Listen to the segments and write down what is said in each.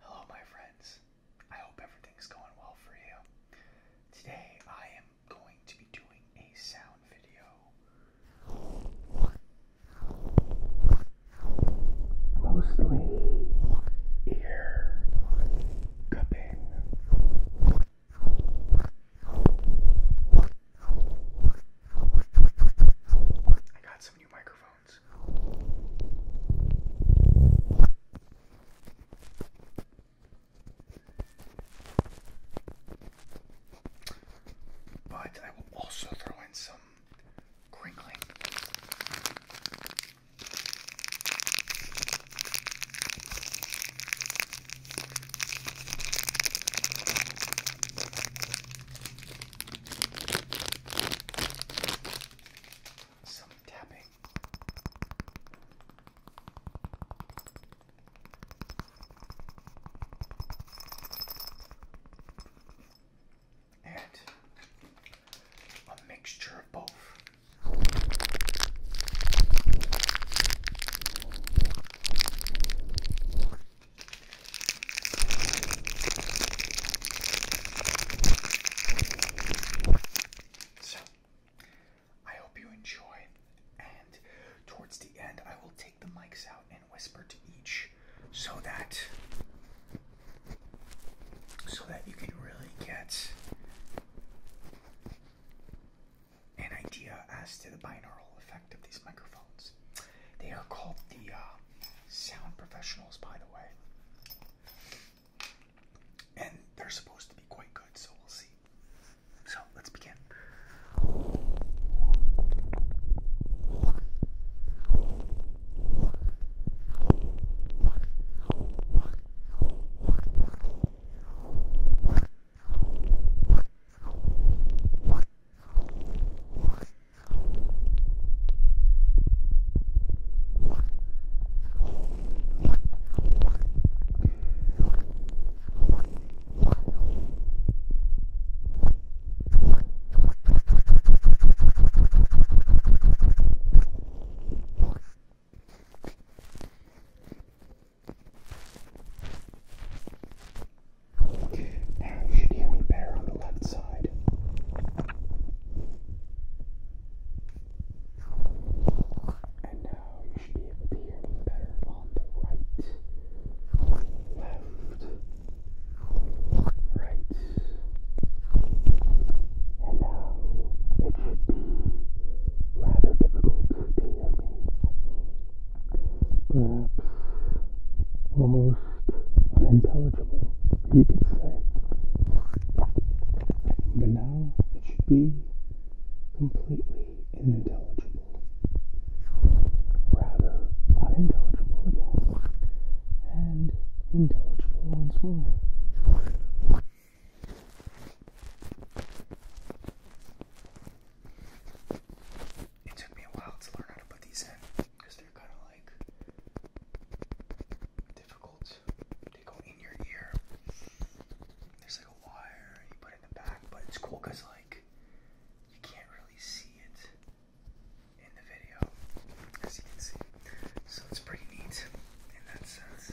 Hello, my friends. I hope everything's going well for you. Today, I am going to be doing a sound video. Mostly ear cupping. I got some new microphones headphones. But I will also throw in some crinkling some tapping. And a mixture of both. So, I hope you enjoy, and towards the end, I will take the mics out and whisper to each so that so that you can really get an idea as to the binaural effect of these microphones. They are called the uh, sound professionals, by the way. And they're supposed to be quite good, so we'll see. So let's begin. Now you should hear me better on the left side. And now you should be able to hear me better on the right, left, right. And now it should be rather difficult to hear me. Perhaps almost most unintelligible, you could say. But now it should be completely unintelligible. Rather unintelligible again, and intelligible once more. It took me a while to learn how to put these in because they're kind of difficult. They go in your ear. There's like a wire you put in the back, but it's cool because like you can't really see it in the video, as you can see. So it's pretty neat in that sense.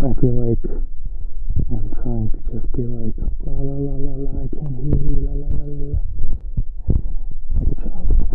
I feel like I'm trying to just be like la la la la la I can't hear you la la la la la like a child.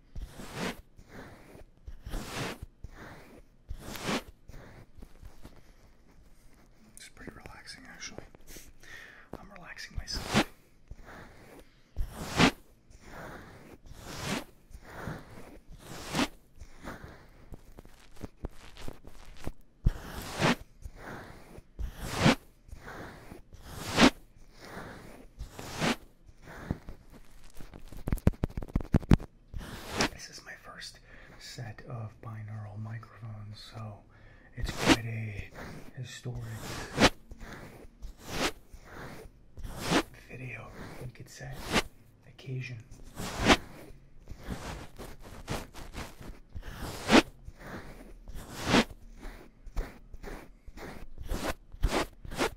It's pretty relaxing, actually. I'm relaxing myself. This is my first set of binaural microphones, so it's quite a historic video, you could say, occasion.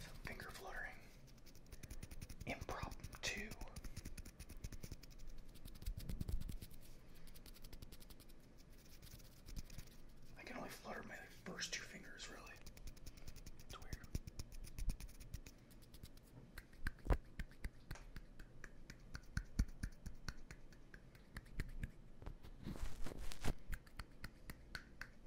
Some finger fluttering. Impromptu. I can only flutter my first two fingers, really. It's weird.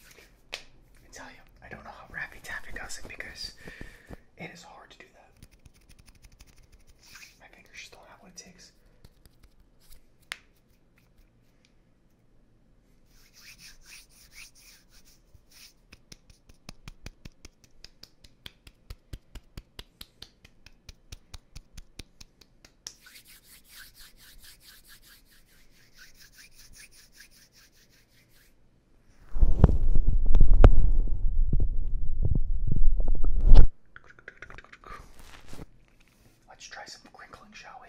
Let me tell you, I don't know how Rappy Taffy does it because it is hard to do that. My fingers just don't have what it takes. Let's try some crinkling, shall we?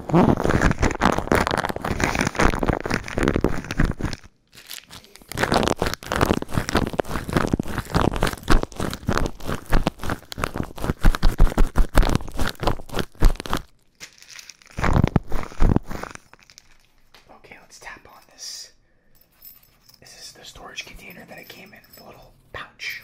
Okay, let's tap on this. This is the storage container that it came in, the little pouch.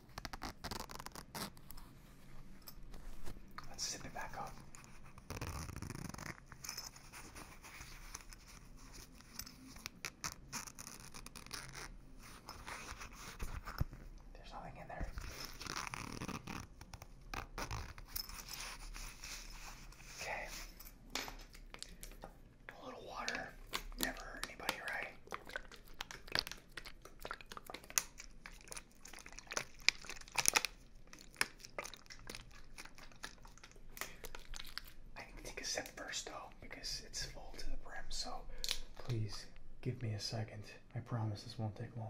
Let's zip it back up. There's nothing in there. Okay. A little water. Never hurt anybody, right? I need to take a sip first, though, because it's full to the brim. So please give me a second. I promise this won't take long.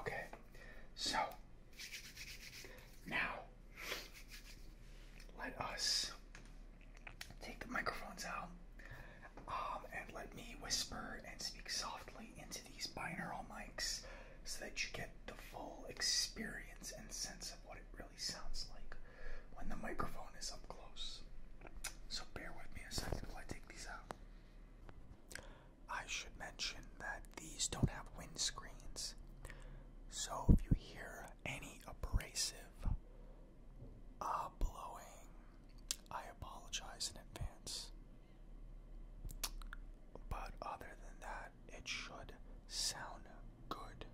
Okay, so now let us take the microphones out um, and let me whisper and speak softly into these binaural mics so that you get the full experience and sense of what it really sounds like when the microphone is up close. So bear with me a second while I take these out. I should mention that these don't have wind screens, So if you hear any abrasive Ah, blowing. I apologize in advance. But other than that, it should sound good.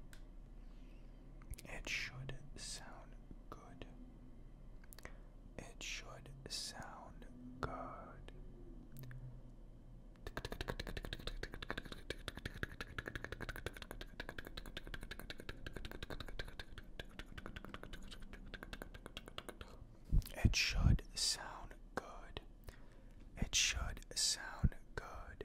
It should sound good. It should sound good. It should sound good. It should sound good.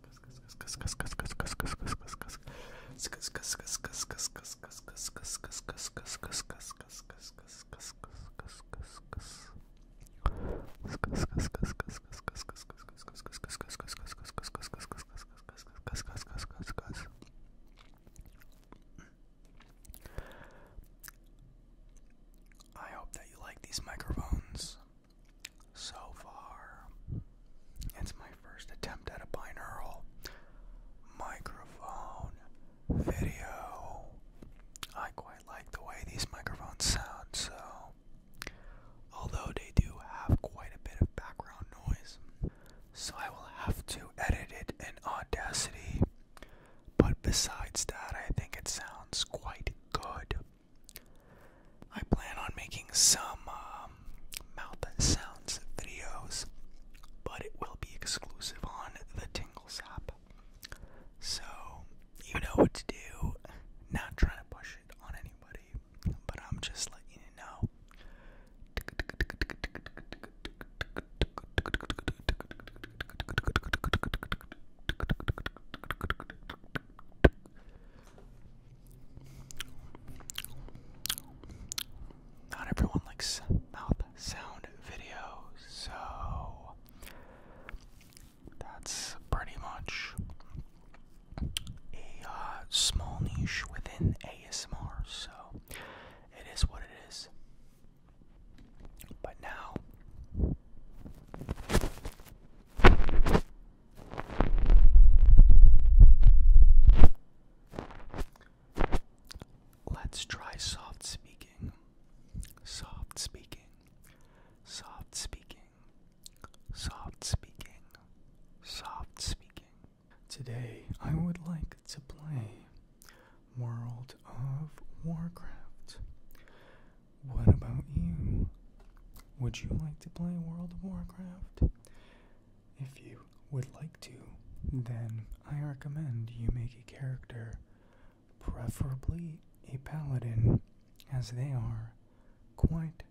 I hope that you like these microphones so far. It's my first attempt at a binaural microphone video. I quite like the way these microphones sound, so although they do have quite a bit of background noise, so I will have to edit it in Audacity. But besides that, I think it sounds quite good. I plan on making some um, mouth sounds videos, but it will be exclusive on the Tingles app. So, you know what to do. Not trying to push it on anybody, but I'm just letting you know. Not everyone likes mouth sound videos, so that's pretty much a uh, small niche within ASMR, so it is what it is. But now, Let's try soft speaking. Soft speaking. Soft speaking. Soft speaking. Soft speaking. Today I would like to play World of Warcraft. What about you? Would you like to play World of Warcraft? If you would like to, then I recommend you make a character, preferably a paladin, as they are quite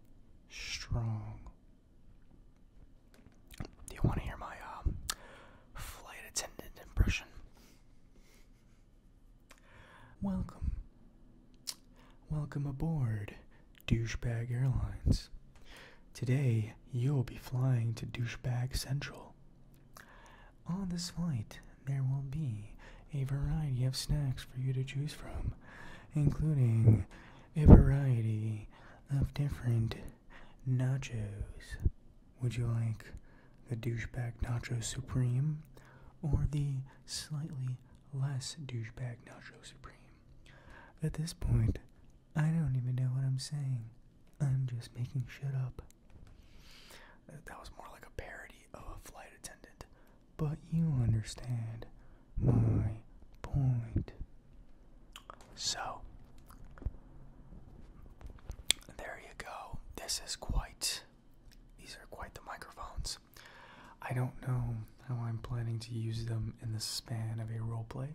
strong. Do you want to hear my um, flight attendant impression? Welcome. Welcome aboard Douchebag Airlines. Today you'll be flying to Douchebag Central. On this flight, there will be a variety of snacks for you to choose from, including a variety of different nachos. Would you like the douchebag nacho supreme or the slightly less douchebag Nacho Supreme. At this point, I don't even know what I'm saying. I'm just making shit up. Uh, that was more like a parody of a flight attendant, but you understand my point. So, there you go. This is quite, these are quite the microphones. I don't know how I'm planning to use them in the span of a roleplay.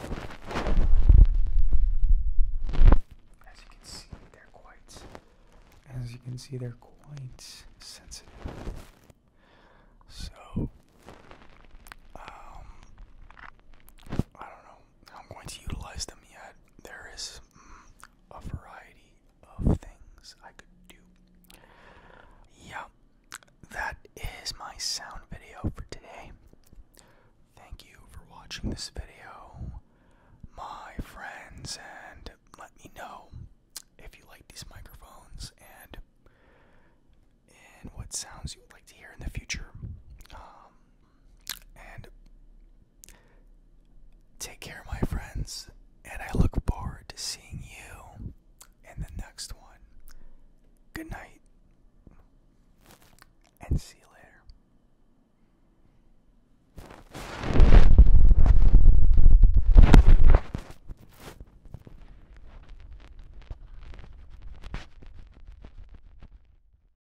As you can see, they're quite. As you can see, they're quite sensitive. So, um, I don't know. I'm going to utilize them yet. There is mm, a variety of things I could do. Yeah, that is my sound video for today. Thank you for watching this video, my friends, and let me know if you like these microphones and and what sounds you'd like to hear in the future. Um, and Take care, my friends, and I look forward to seeing you in the next one. Good night, and see you later.